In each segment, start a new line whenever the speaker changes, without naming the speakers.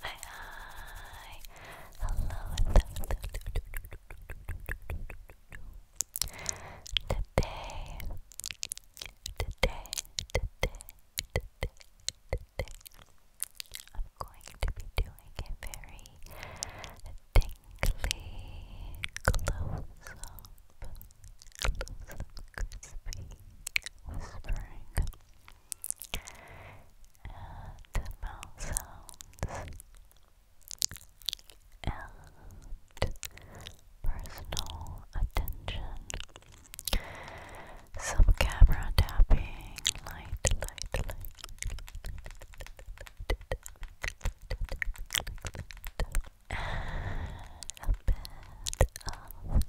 Hi, Hello, Today, today, today, today, today, I'm going to be doing a very tingly close crispy whispering and mouth sounds and personal attention. Some camera tapping, light, light, light. A bit of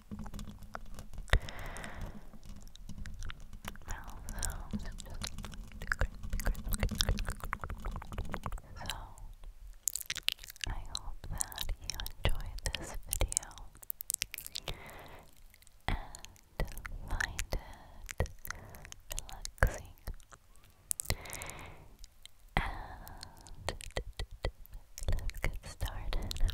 sounds so I hope that you enjoyed this video and find it relaxing and let's get started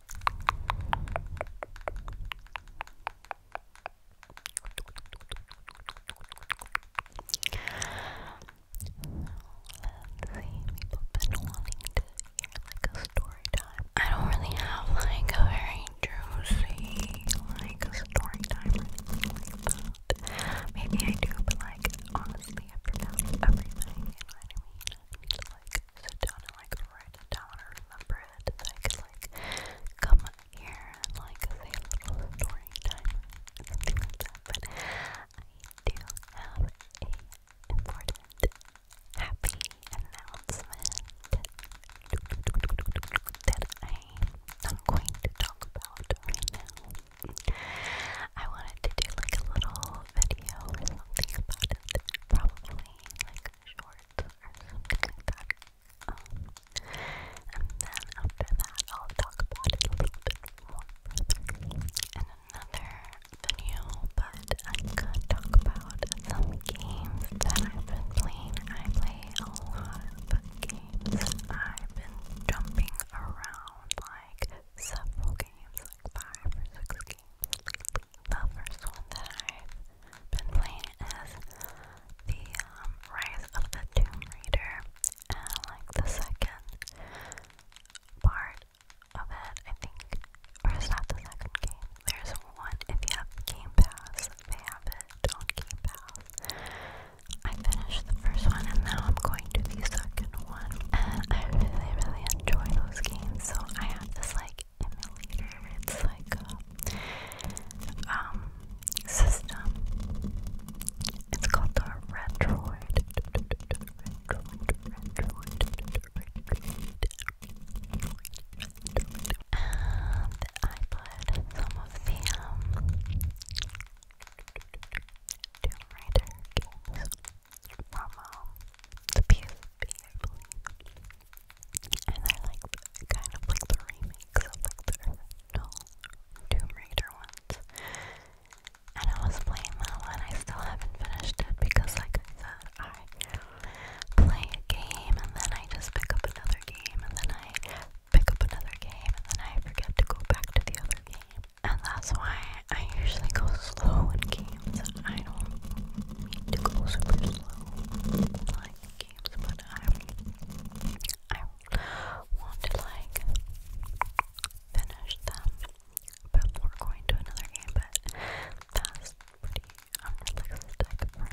been wanting to hear like a story time. I don't really have like a very juicy like a story time or anything like that. Maybe I do, but like honestly I forgot everything, you know what I to like sit down and like write it down or remember it I could like come here like a little story time But I do have a important happy announcement that I'm going to talk about right now. I wanted to do like a little video or something about it probably like shorts or something like that. Um, and then after that, I'll talk about a little bit more in another video. But I could talk about some games that I've been playing. I play a lot of games. I've been jumping around like several games, like five or six the first one that I've been playing is the um, Rise of the Tomb Raider, and like the second part of it, I think, or it's not the second game. There's one if you have Game Pass, they have it on Game Pass. I finished the first one, and now I'm going to the second one, and I really, really enjoy those games. So I have this like emulator. It's like a uh, um, system. It's called the Retroid. And I put some of the um from the PSP, I believe. And I like kind of like the remakes of the original Tomb Raider ones. And I was playing that one. I still haven't finished it because, like I said, I play a game and then I just pick up another game and then I pick up another game and then I forget to go back to the other game. And that's why I usually go slow in games. I don't need to go super slow like games, but I, I want like finish them before going to another game. But that's pretty unrealistic for me.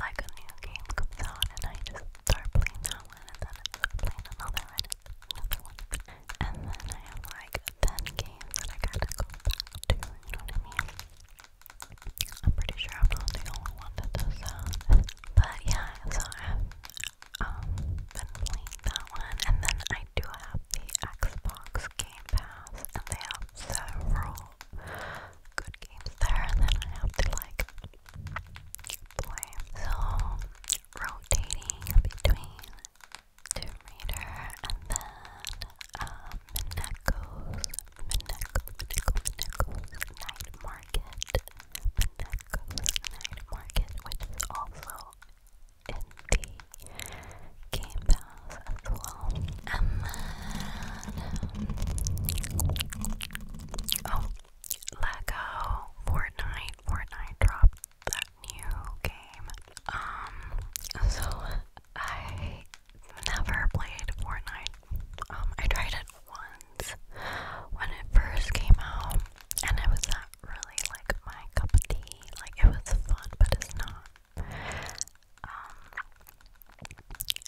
Like, I, like a new game comes out and I just start playing that one and then I start another one, another one. And then I have like 10 games that I gotta go back to, you know what I mean? I'm pretty sure I'm not the only one that does that. But yeah, so I've um, been playing that one. And then I do have the Xbox Game Pass, and they have several good games there. And then I have to like play. So rotating between to Raider, and then uh, Mineco's, Mineco, Mineco, Night Market, Mineco's Night Market, which is also in the game pass as well. And then, oh, Lego, Fortnite, Fortnite dropped that new game. Um, so I never played Fortnite. Um, I tried it once when it first came out, and it was not really like my cup of tea. Like it was fun, but it's not. Um,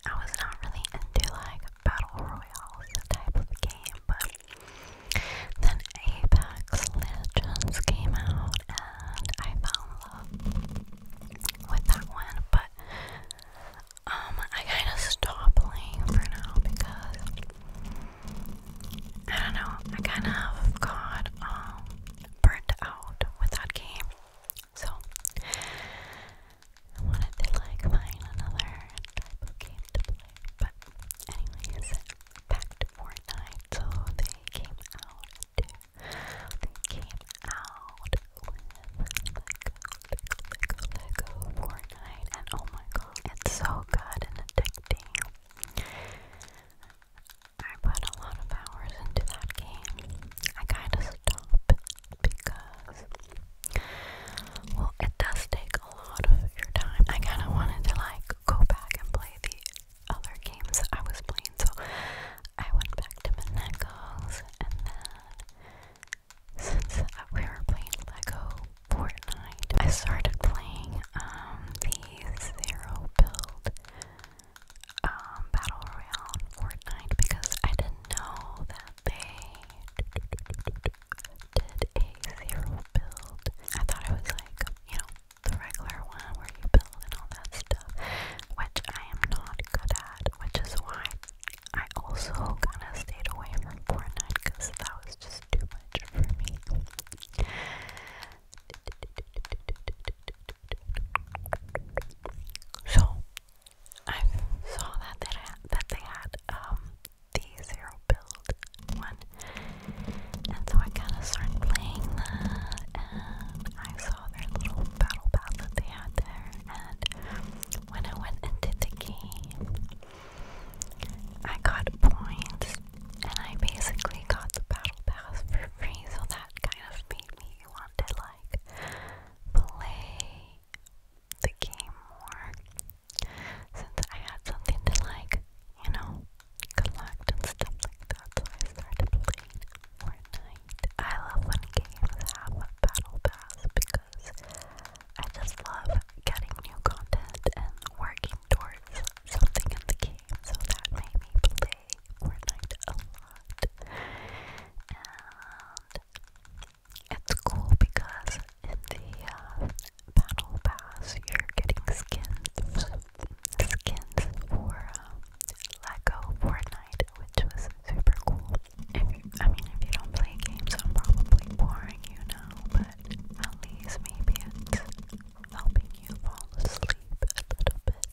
I was not really into like battle royales type of game, but then Apex Legends came out, I fell in love with that one, but um, I kind of stopped playing for now because I don't know, I kind of got um, burnt out with that game, so I wanted to like find another type of game to play, but anyways, back Fortnite, so they came out they came out with Lego, Lego, Lego Fortnite, and oh my god, it's so good and addicting. I put a lot of hours into that game. I kind of stopped because, well, it does take a lot of your time. I kind of wanted to like go back and play the other games I was playing, so I went back to Manecos, and then since we were playing Lego Fortnite, I started playing um, the Zero Build um, Battle Royale Fortnite because I didn't know that they did a zero build. I thought it was like, you know, the regular one where you build and all that stuff, which I am not good at, which is why I also kind of stayed away from Fortnite because that was just too much for me. So I saw that they had, that they had um the zero build one. And so I kind of started playing that, and I saw their little battle pad that they had there. And when I went into the game, I got points, and I basically got the battle pass for free. So that kind of made me want to like play the game more, since I had something to like, you know, collect and stuff like that, so I started playing Fortnite. I love when games have a battle pass because I just love getting new content and working towards something in the game, so that made me play Fortnite a lot. And it's cool because in the uh, Battle Pass, you're getting skins, skins for uh, Lego Fortnite, which was super cool. I mean, if you don't play games, I'm probably boring you now, but at least maybe helping you fall asleep a little bit.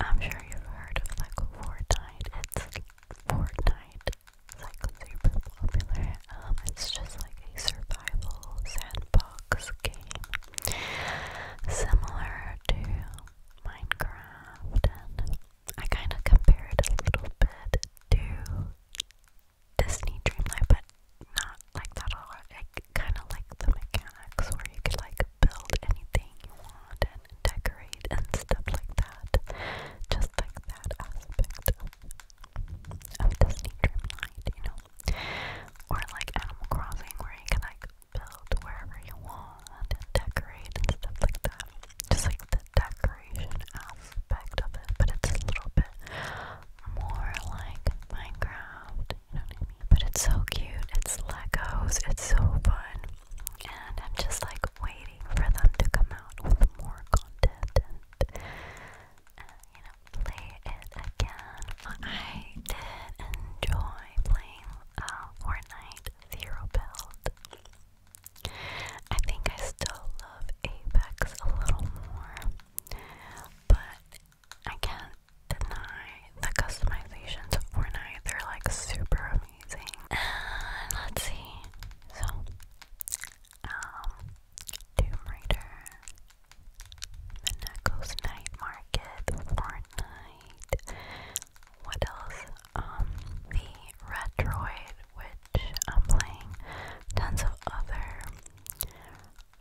I'm sure you've heard of Lego Fortnite. It's Fortnite. It's like super popular. Um, it's just like a survival sandbox blocks game, similar to Minecraft, and I kind of compare a little bit to Disney Dreamlight, but not like that a lot. I kind of like the mechanics where you could like build anything you want and decorate and stuff like that. Just like that aspect of Disney Dreamlight, you know? Or like Animal Crossing where you can like build wherever you want and decorate and stuff like that. Just like the decoration aspect of it, but it's a little bit more like Minecraft, you know what I mean? But it's so cute, it's Legos, it's so fun, and I'm just like waiting for them to come out with more content uh, you know, play it again. I did enjoy playing uh, Fortnite Zero Build. I think I still love Apex a little more, but I can't deny the customizations of Fortnite. They're like super amazing. And let's see. So, um, Tomb Raider, Monaco's Night Market, Fortnite. What else? Um, the Retroid, which I'm playing. Tons of other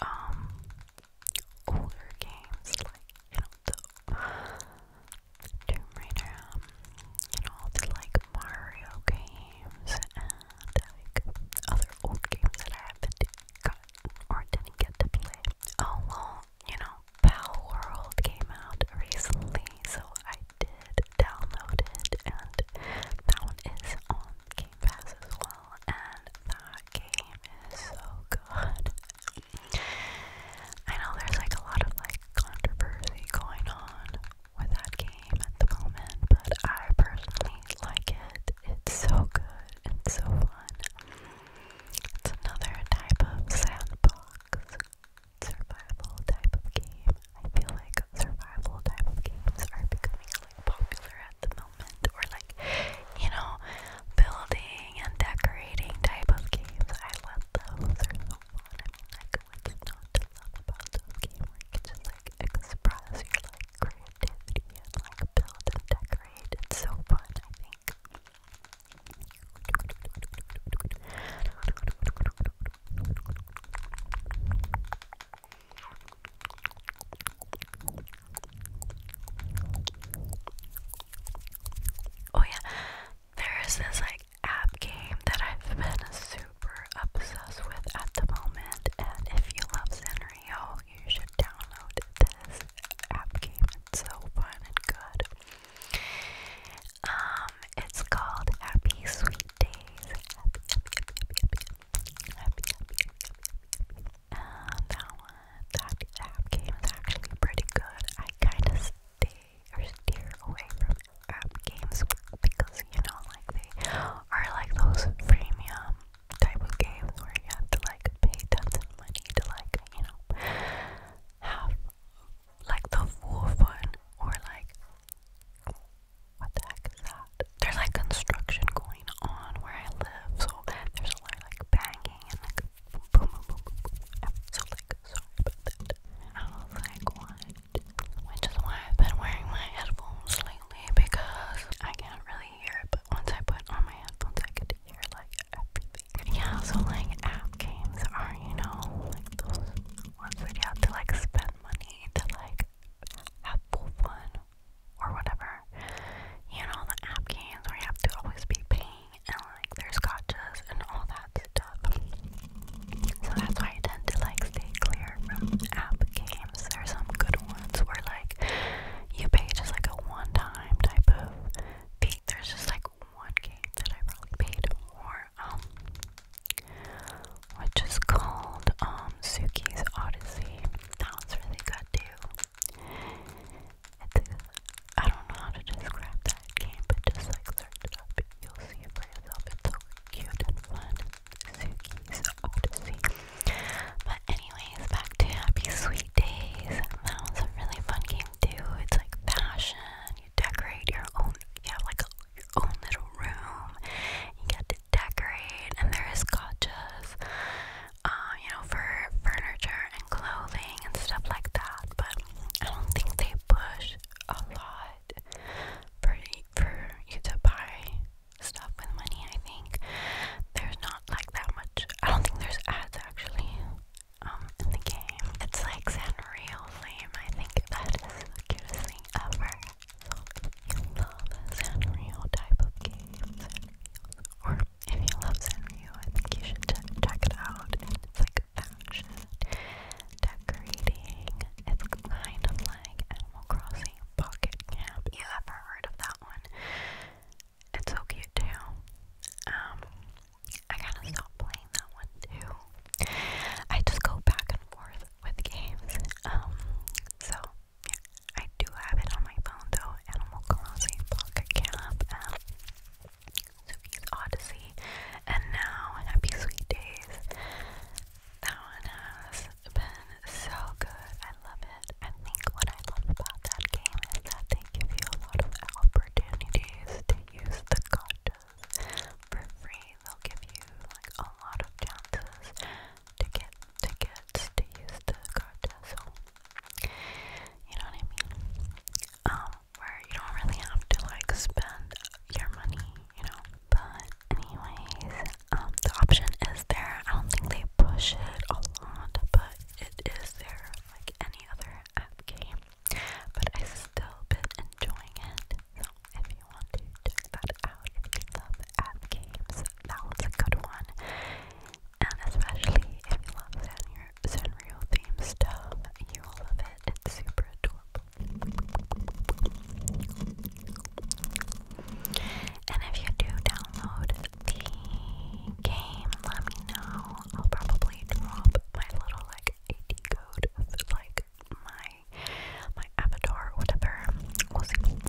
um older games like you know the Tomb Raider, you um, know the like Mario games like other old games that I haven't gotten or didn't get to play. Oh well, you know, Pal World came out recently, so I did download it, and that one is on Game Pass as well, and that game is so good. I know there's like a lot of like controversy going on with that game at the moment, but I personally like it. It's so good and so fun. It's another type of sandbox, survival type of game. I feel like survival type of games are becoming like popular at the moment, or like you know, building and decorating type of games. I love those; they're so fun. I mean, like what's not to love about those games? just like express your like creativity and like build and decorate. so fun, I think. Oh yeah, there is this like app game that I've been super obsessed with at the moment, and if you love Sanrio, you should download this app game. It's so fun and good. Um, it's called Happy Sweet Days. Happy, uh, happy, happy, happy, happy, happy, happy, happy, happy. And that one, that app game is actually pretty good. I kind of stay or steer away from app games because you know, like they are like those freemium type of games where you have to like pay tons of money to like, you know, have like the full fun or like what the heck is that? There's like construction going on where I live, so there's a lot of like banging and like boom boom boom boom. boom. I'm so like sorry about that. I was like, what? Which is why I've been wearing my headphones lately lately because I can't really hear it, but once I put on my headphones, I could hear like everything. Yeah, so like app games are, you know, like those ones where you have to like spend money to like have fun or whatever. You know, the app games where you have to always be paying and like there's gotchas and all that stuff. So that's why I tend to like stay clear from app games games. There some good ones where like you pay just like a one-time type of fee. There's just like one game that I probably paid more, um, which is called um Suki's Odyssey. That one's really good too. It's I don't know how to describe that game, but just like it up, you'll see it for yourself. It's so cute and fun. Suki's Odyssey. But anyways, back to Happy Sweet Days. That was a really fun game too. It's like fashion. You decorate your own. You have like a, your own little room. You get to decorate, and there is gotchas. Uh, you know, for furniture and clothing and stuff like that. But I don't think they push a lot for for you to buy stuff with money, I think. There's not like that much. I don't think there's ads actually um, in the game. It's like Sanrio Flame. I think that is the cutest thing ever. So if you love Sanrio type of games, or if you love Sanrio, I think you should ch check it out. It's like fashion, decorating. It's kind of like Animal Crossing, Pocket Camp. You ever heard of that one? It's so cute too. Um, I gotta stop playing that one too. I just go back and forth with games. Um, so yeah, I do have it on my phone though. Animal Crossing, Pocket Camp, um, Suki's Odyssey, and now Happy Sweet Days. That one has been so good. I love it. I think what I love about that game is that they give you a lot of opportunities to use the gotchas for free. They'll give you like a lot of chances to get tickets to use the gotcha. So you know what I mean? Um, where you don't really have to like spend your money you know. But anyways, um, the option is there. I don't think they push it a lot, but it is there like any other app game. But I still been enjoying it. So if you want to check that out, if you love app games, that one's a good one. And especially if you love Sanrio, Sanrio theme stuff, you will love it. It's super adorable. And if you do download the game, let me know. I'll probably drop my little like AD code like my my avatar or whatever. We'll see.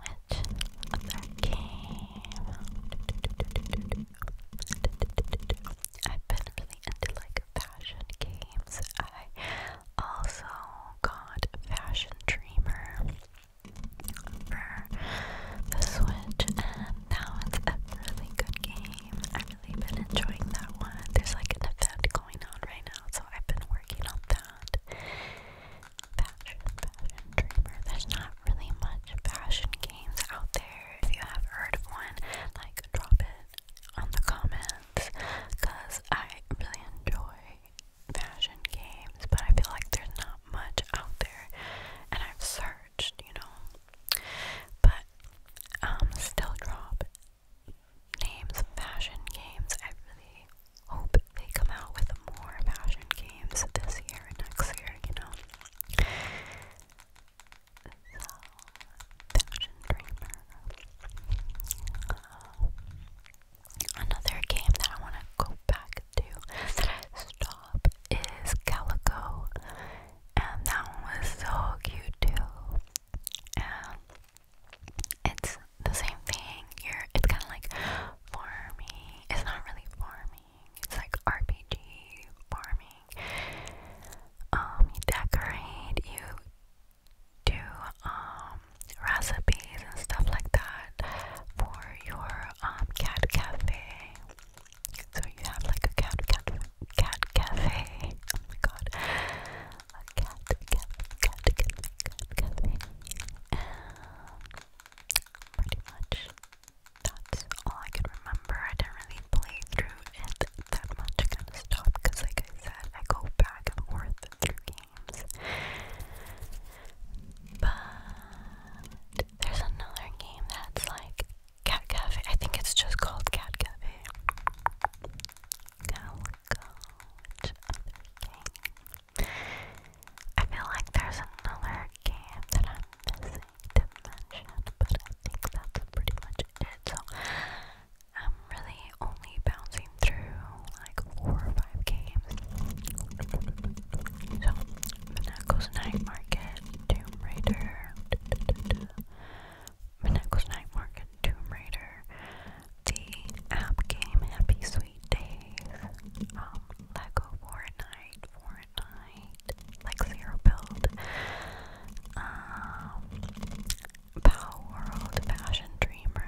which game? I've been really into like like fashion games. I also got Fashion Dreamer for the Switch, and that one's a really good game. I've really been enjoying that one. There's like an event going on right now, so I've been working on that. Fashion, Fashion Dreamer. There's not really much fashion games out there. If you have heard of one, like drop it on the comments because I really enjoy fashion games, but I feel like there's not much out there, and I've searched, you know. But um, still drop names of fashion games. I really hope they come out with more fashion games this year and next year, you know. Fashion another game that I want to go back to stop is Calico, and that one was so cute too. And it's the same thing. You're it's kind of like farming. It's not really farming. It's like RPG farming. Um, you decorate. You do um recipes and stuff like that for your um cat cafe. So you have like a cat cat cafe. Oh my god. A cat cat cat cat cafe. pretty much that's all I can remember. I didn't really play through that much. I kind of because, like I said, I go back and forth through games. But there's another game that's like Cat Cafe. I think it's just called Cat Cafe. I feel like there's another game that I'm missing to mention, but I think that's pretty much it. So I'm really only bouncing through like four or five games. So, Monaco's Night Market, Tomb Raider, Monaco's Night Market, Tomb Raider, the app game Happy Sweet Days, um, Lego Fortnite, Fortnite, like Zero Build, um, Pow World Fashion Dreamer.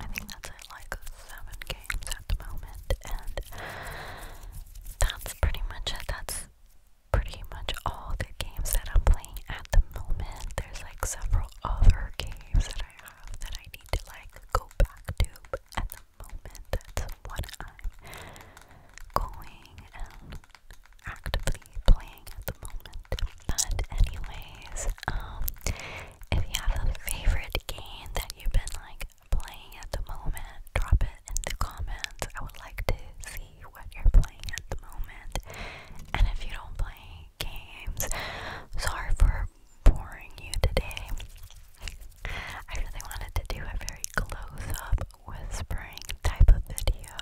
I think that's at like seven games at the moment, and that's pretty much it. That's pretty much all the games that I'm playing at the moment. There's like several other games that I have that I need to like go back to, at the moment, that's what I'm going and actively playing at the moment. But anyways, um if you have a favorite game that you've been like playing at the moment, drop it in the comments. I would like to see what you're playing at the moment. And if you don't play games, sorry for boring you today. I really wanted to do a very close up whispering type of video,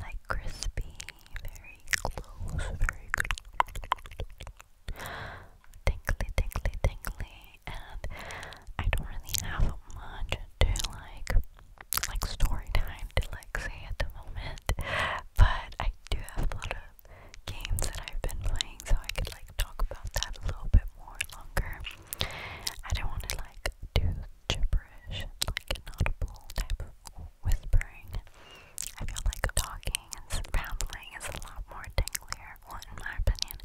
like crispy, very close, very good, tingly, tingly, tingly, and I don't really have much to like, like story time to like say at the moment, but I do have a lot of games that I've been playing, so I could like talk about that a little bit more longer. I don't want to like do gibberish, like inaudible type of whispering. I feel like talking and rambling is a lot more dinglier. Well, in my opinion,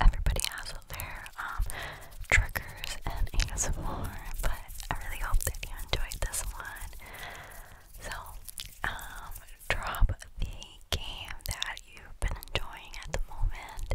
everybody has their um, triggers and ASMR, but I really hope that you enjoyed this one. So, um, drop the game that you've been enjoying at the moment.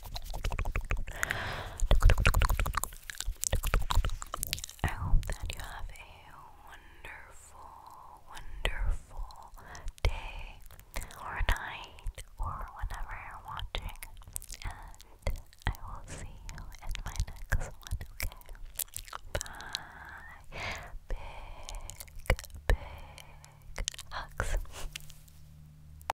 I hope that you have a wonderful, wonderful day or night or whenever you're watching. And I will see you in my next one, okay? Bye. Big, big hugs.